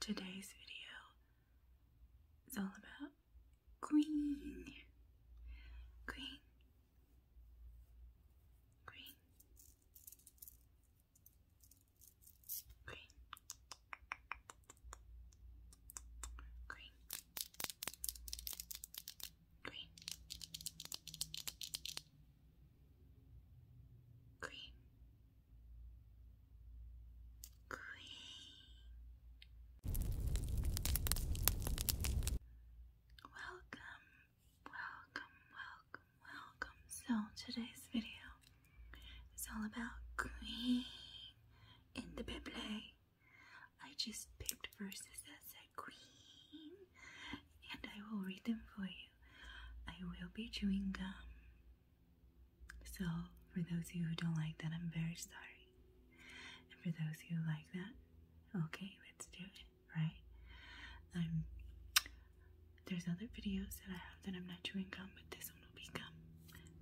Today's video is all about green. Green. Green. Green. Green. Green. Green. Queen. Welcome, welcome, welcome, welcome. So today's video is all about Queen in the Bible. I just picked verses that said Queen, and I will read them for you. I will be chewing gum so, for those of you who don't like that, I'm very sorry. And for those who like that, okay, let's do it, right? Um, there's other videos that I have that I'm not chewing gum, but this one will be gum.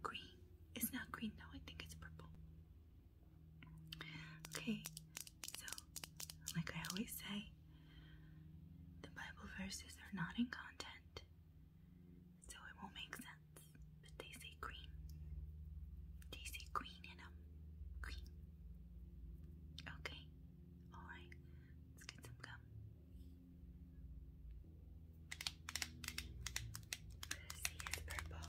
Green. It's not green though, I think it's purple. Okay, so, like I always say, the Bible verses are not in content, so it won't make sense. But they say green. They say green in them. Green. Okay. Alright. Let's get some gum. This is purple.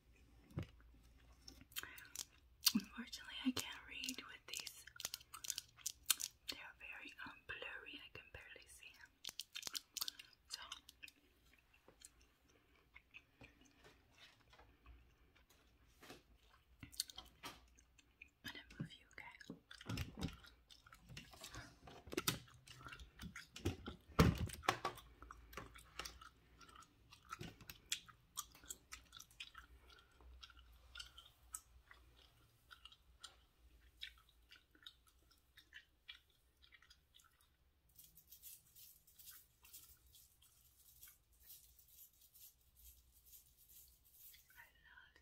Unfortunately, I can't read with these. They are very um, blurry. I can barely see them. So. I'm gonna move you, okay? I love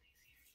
these earrings.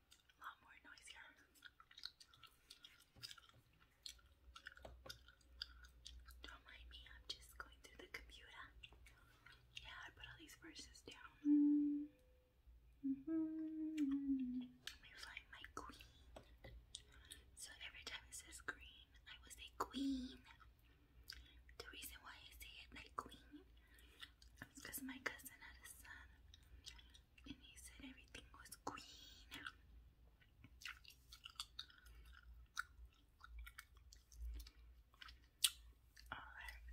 a lot more noisier. Don't mind me, I'm just going through the computer. Yeah, I put all these verses down. Mm -hmm. Let me find my queen. So every time it says green, I will say queen. The reason why I say it like queen is because my cousin had a son and he said everything was green. Alright.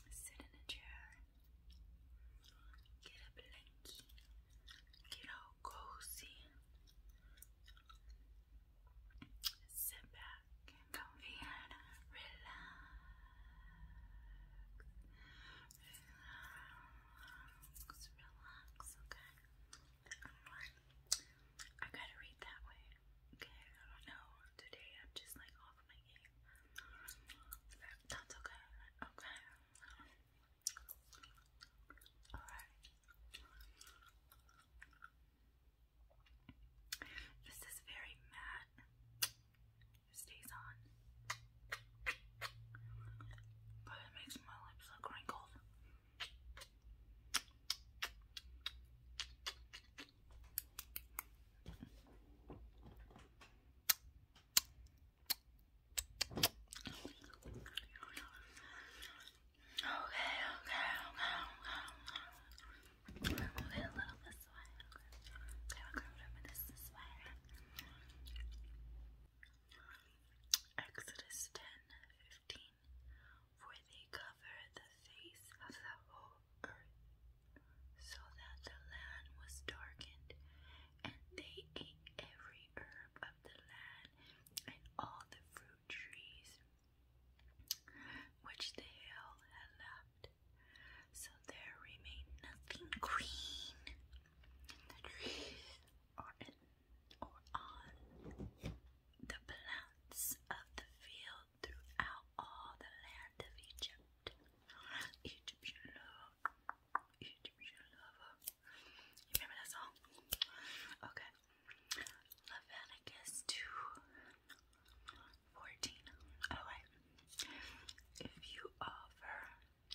So, sit in a chair, get a get all cozy, sit back and comfy relax. Relax, relax, okay? I gotta read that way, okay? I don't know. Today I'm just like off my game. That's okay, okay? Alright. This is very matte. stays on. But it makes my lips look wrinkled okay, okay. We'll a little this way. Okay, we'll curve it this, this way. Exodus 10 15. they cover the face of the whole earth, so that the land was darkened, and they ate every herb of the land and all the fruit trees which the hill had left. So there remained nothing green in the trees or in or on the plants of the field throughout all the land of Egypt. Egypt Egyptian lover. You remember that song? Okay. Leviticus 2 14. Alright. If you offer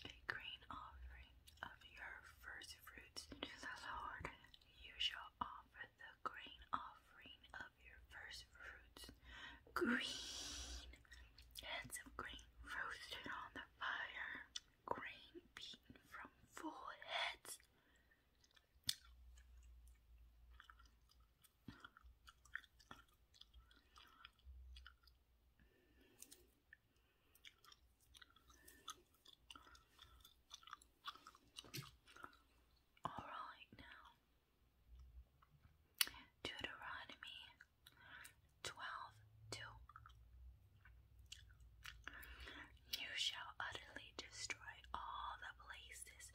a grain offering of your first fruits to the Lord, you shall offer the grain offering of your first fruits. Green heads of grain roasted on the fire, grain beaten from full heads. All right now, Deuteronomy 12. You shall utterly destroy all the places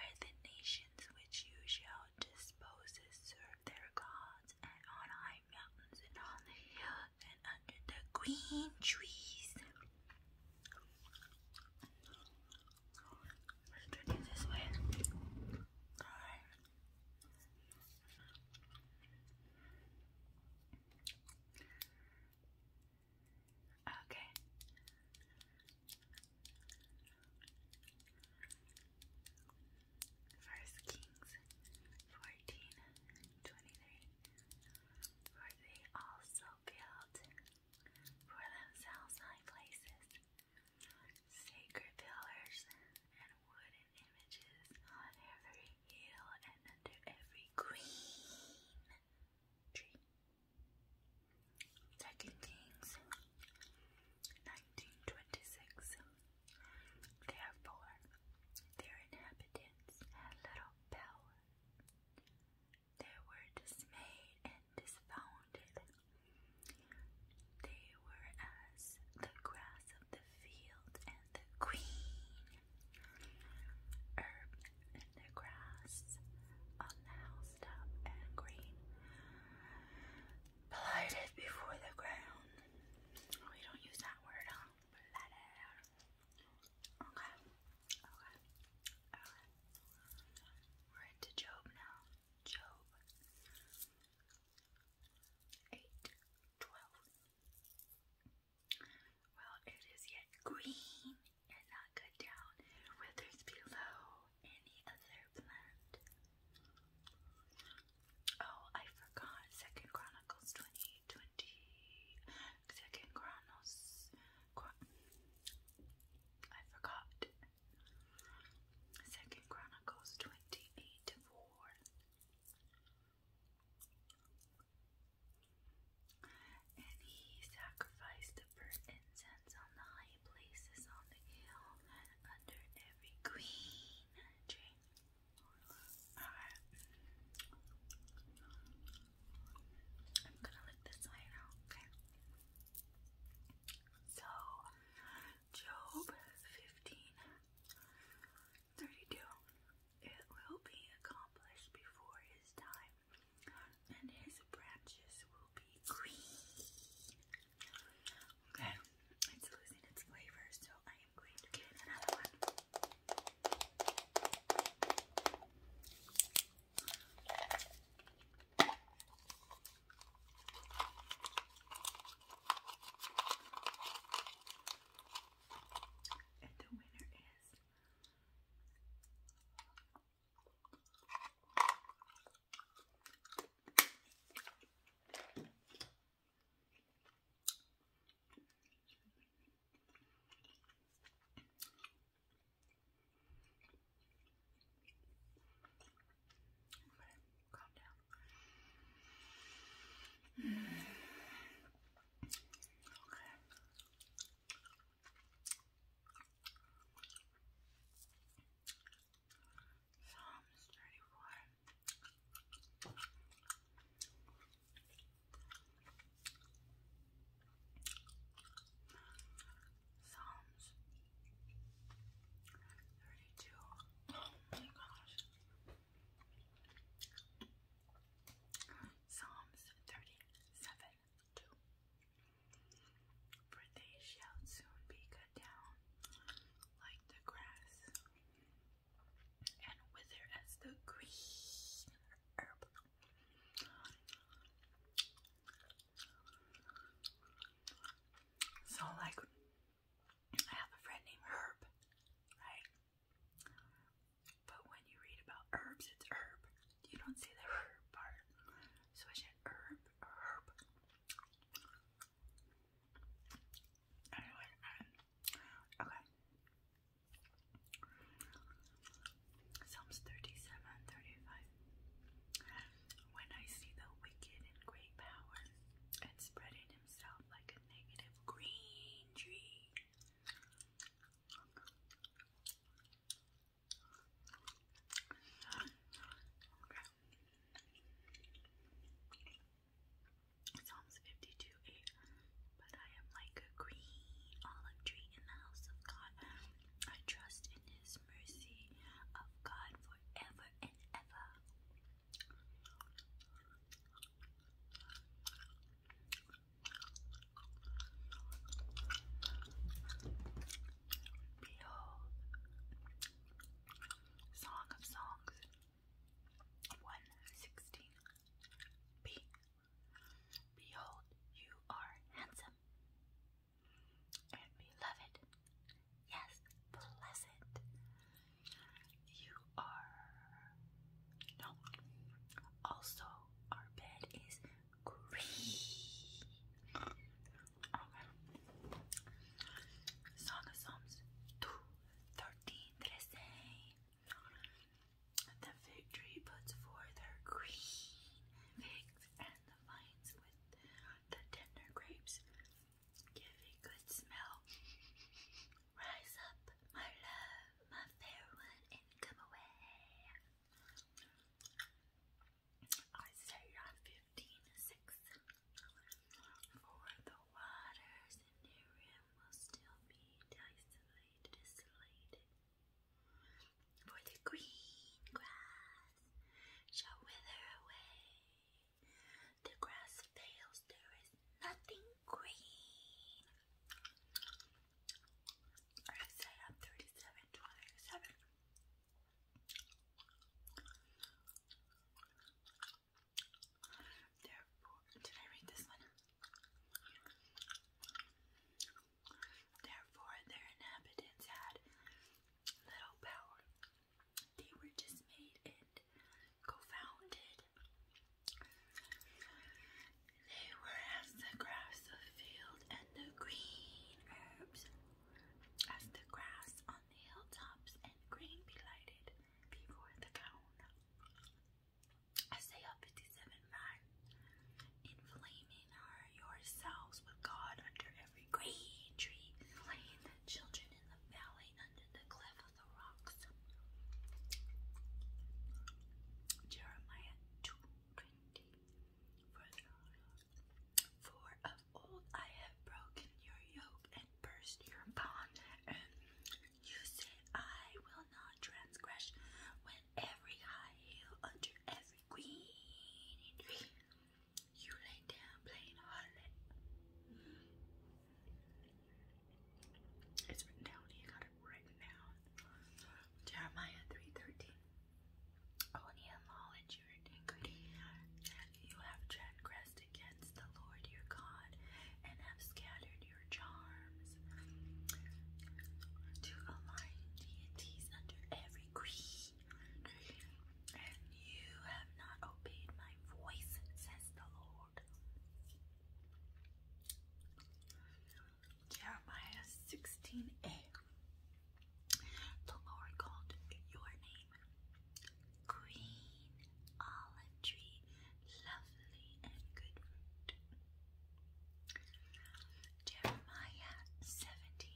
where the nations which you shall dispose serve their gods, and on high mountains, and on the hills, and under the green trees. turn it this way. Okay. First Kings fourteen twenty three. For they also built for themselves high places Sacred pillars and wooden images on every hill and under every green tree. Second Kings 1926. Therefore, their inhabitants had little power. They were dismayed and disfounded they were as the grass of the field and the green herb and the grass on the housetop and green blighted before the ground. we don't use that word, huh? Blighted. Okay. Okay. Okay. We're into Job now. Job eight, twelve. Well, it is yet green and not cut down, withers below any other plant. Oh, I forgot. Second Chronicles twenty twenty. Second Chronos. I forgot. Second Chronicles twenty eight four. And he sacrificed the burnt incense on the high places on the hill and under every green tree. Alright. I'm gonna lick this line out, okay? So Job 15 32. It will be accomplished before his time, and his branches will be green. Okay, it's losing its flavor, so I am going to get another one. And the winner is I'm gonna calm down. Mm. Okay. Psalms 34. Psalms 32. Oh my gosh. Psalms 37 2. For they shall soon be cut down like the grass and wither as the green herb. So, like, I have a friend named Herb, right? But when you read about herbs, it's herb. You don't see the herb part. So, is it herb herb? Anyway, um, okay. Psalms 37, 35. When I see the wicked in great power and spreading himself like a negative green tree. Psalms 52 8. But I am like a green olive tree in the house of God. I trust in his mercy of God forever and ever. Behold, Song of Songs 116 Behold, you are handsome, and beloved. Yes, pleasant. You are. No. Also, our bed is green. Okay. Song of Psalms 2 The fig puts forth her green figs, and the vines with the tender grapes give a good smell. Rise up, my love, my fair one, and come away. Isaiah 15 6. For the waters in their rim will still be desolated, desolated. For the green grass shall wither away. The grass fails, there is nothing green. I said I'm 37 Therefore, did I read this one? Therefore, their inhabitants had Little Power. They were just made and co They were as the grass of field and the green herbs, as the grass on the hilltops and green belighted before the dawn. Isaiah 57 man in Align yourselves with God under every green tree. Lay the children in the valley under the cliff of the rocks. Jeremiah 2.20 For of old I have broken your yoke and burst your bond. And you say, I will not transgress when every high hill under every green tree. You lay down playing harlot. It's written down here, got it written Jeremiah 3.13 Only in law and your iniquity you have transgressed against the Lord your God and have scattered your charms to align deities under every creed and you have not obeyed my voice, says the Lord. Jeremiah 16a. The Lord called your name Green Olive Tree, lovely and good Jeremiah 17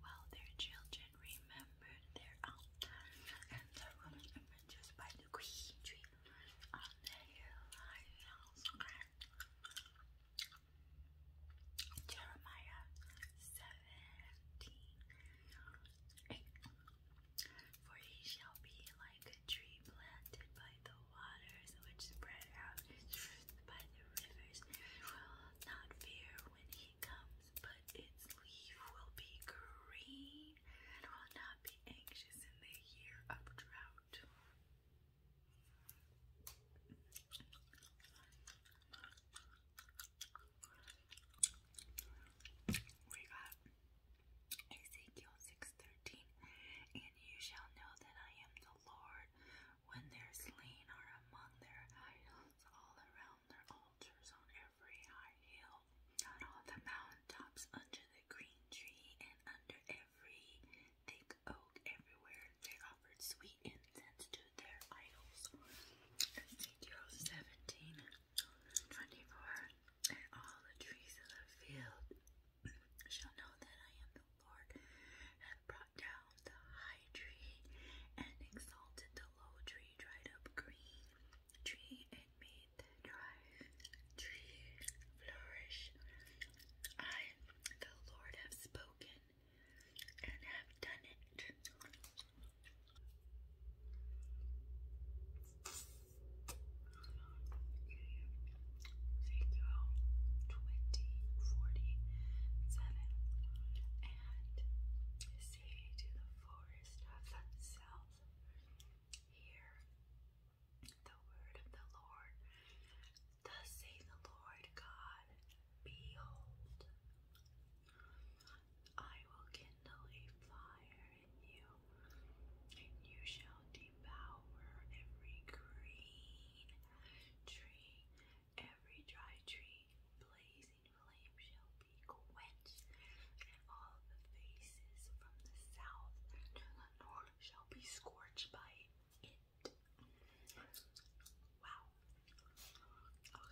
while their children remembered their altar and the wooden images by the green tree on the Jeremiah 17 For he shall be like a tree planted by the waters which spread out its earth by the rivers. will not fear when he comes, but its leaf will be green and will not be anxious in the year of drought. We got Ezekiel 6:13, and you shall know that I am the Lord when they're slain are among their idols, all around their altars, on every high hill, on all the mountaintops, under the green tree, and under every thick oak, everywhere they offered sweet incense to their idols. Ezekiel 17 24. all the trees of the field shall know that I am the Lord, have brought down the high tree, and exalted the low tree, dried up green tree, and made dry tree flourish. I, the Lord, have spoken and have done it. Seiko 2047 and see to the forest of the south. Hear the word of the Lord. Thus saith the Lord God, Behold, I will kindle a fire in you, and you shall devour every green tree. Every dry tree, blazing flame shall be quenched, and all the faces from the south to the north shall be scorched by it. Wow. Okay.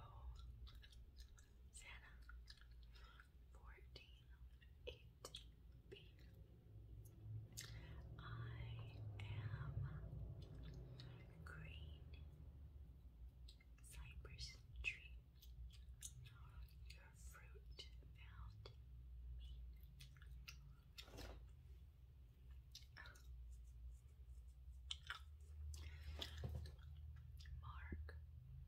Oh. Santa, 14.8b. I am green cypress tree. Your fruit found me. Mark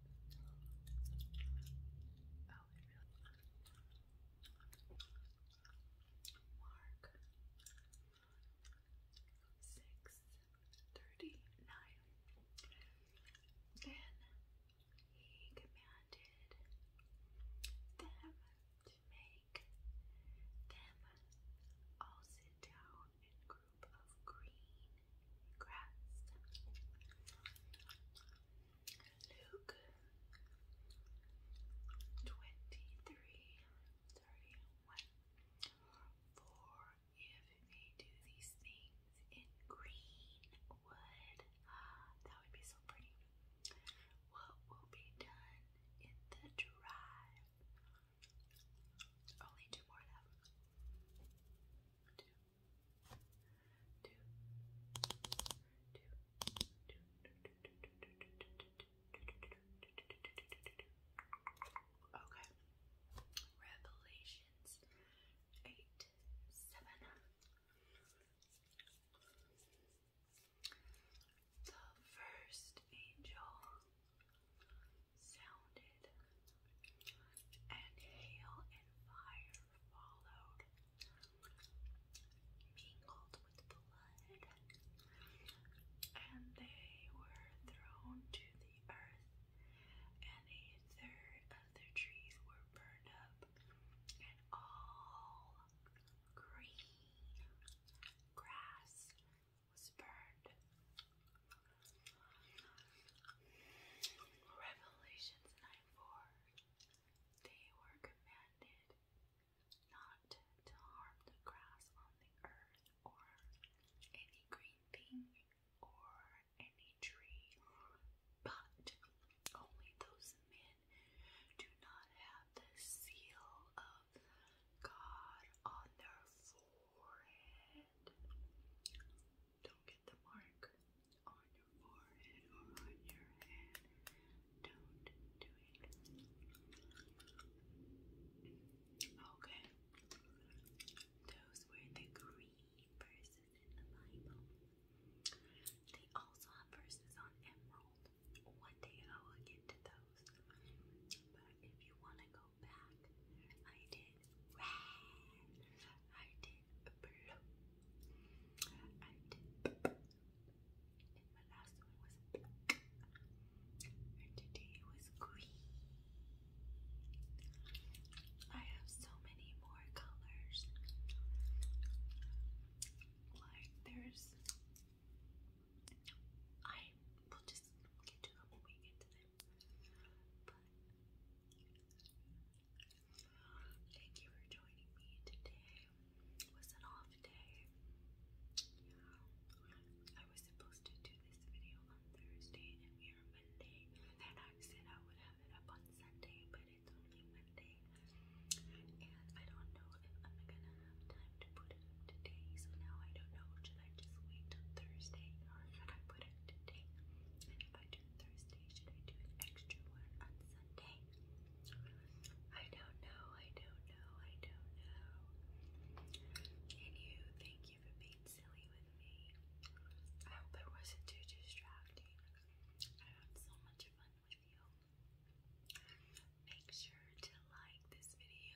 Oh, it Mark six thirty-nine. Then he commanded them to make them all sit down and group of green grass. Luke 23 31. if they do these things in greenwood, ah, that would be so pretty. What will be done in the drive? Only two more of Two. Okay. Revelations eight seven. The first angel sounded, and hail and fire followed, mingled with blood, and they were thrown to the earth, and a third of the trees were burned up, and all green grass was burned Revelations 9 4 They were commanded not to harm the grass on the earth or any green thing or any tree, but only those men do not have the seal of God on their forehead. Don't get the mark on your forehead or on your head. Don't do it. Okay. Those were the green verses in the Bible. They also have verses on emerald. One day I will get to those. But if you want to go I did red. I did blue. I did and my last one was black. And today was green. I have so many more colors. Like there's I will just get to them when we get thank you for joining me today. was an off day. I was supposed to do this video on Thursday and we Monday. And I said I would have it up on Sunday, but it's only Monday. And I don't know if I'm gonna have time to put it up today. So now I don't know. Should I just wait till Thursday or should I put today. And if I do Thursday, should I do extra one on Sunday? I don't know, I don't know, I don't know. And you, thank you for being silly with me. I hope it wasn't too distracting. I had so much fun with you. Make sure to like this video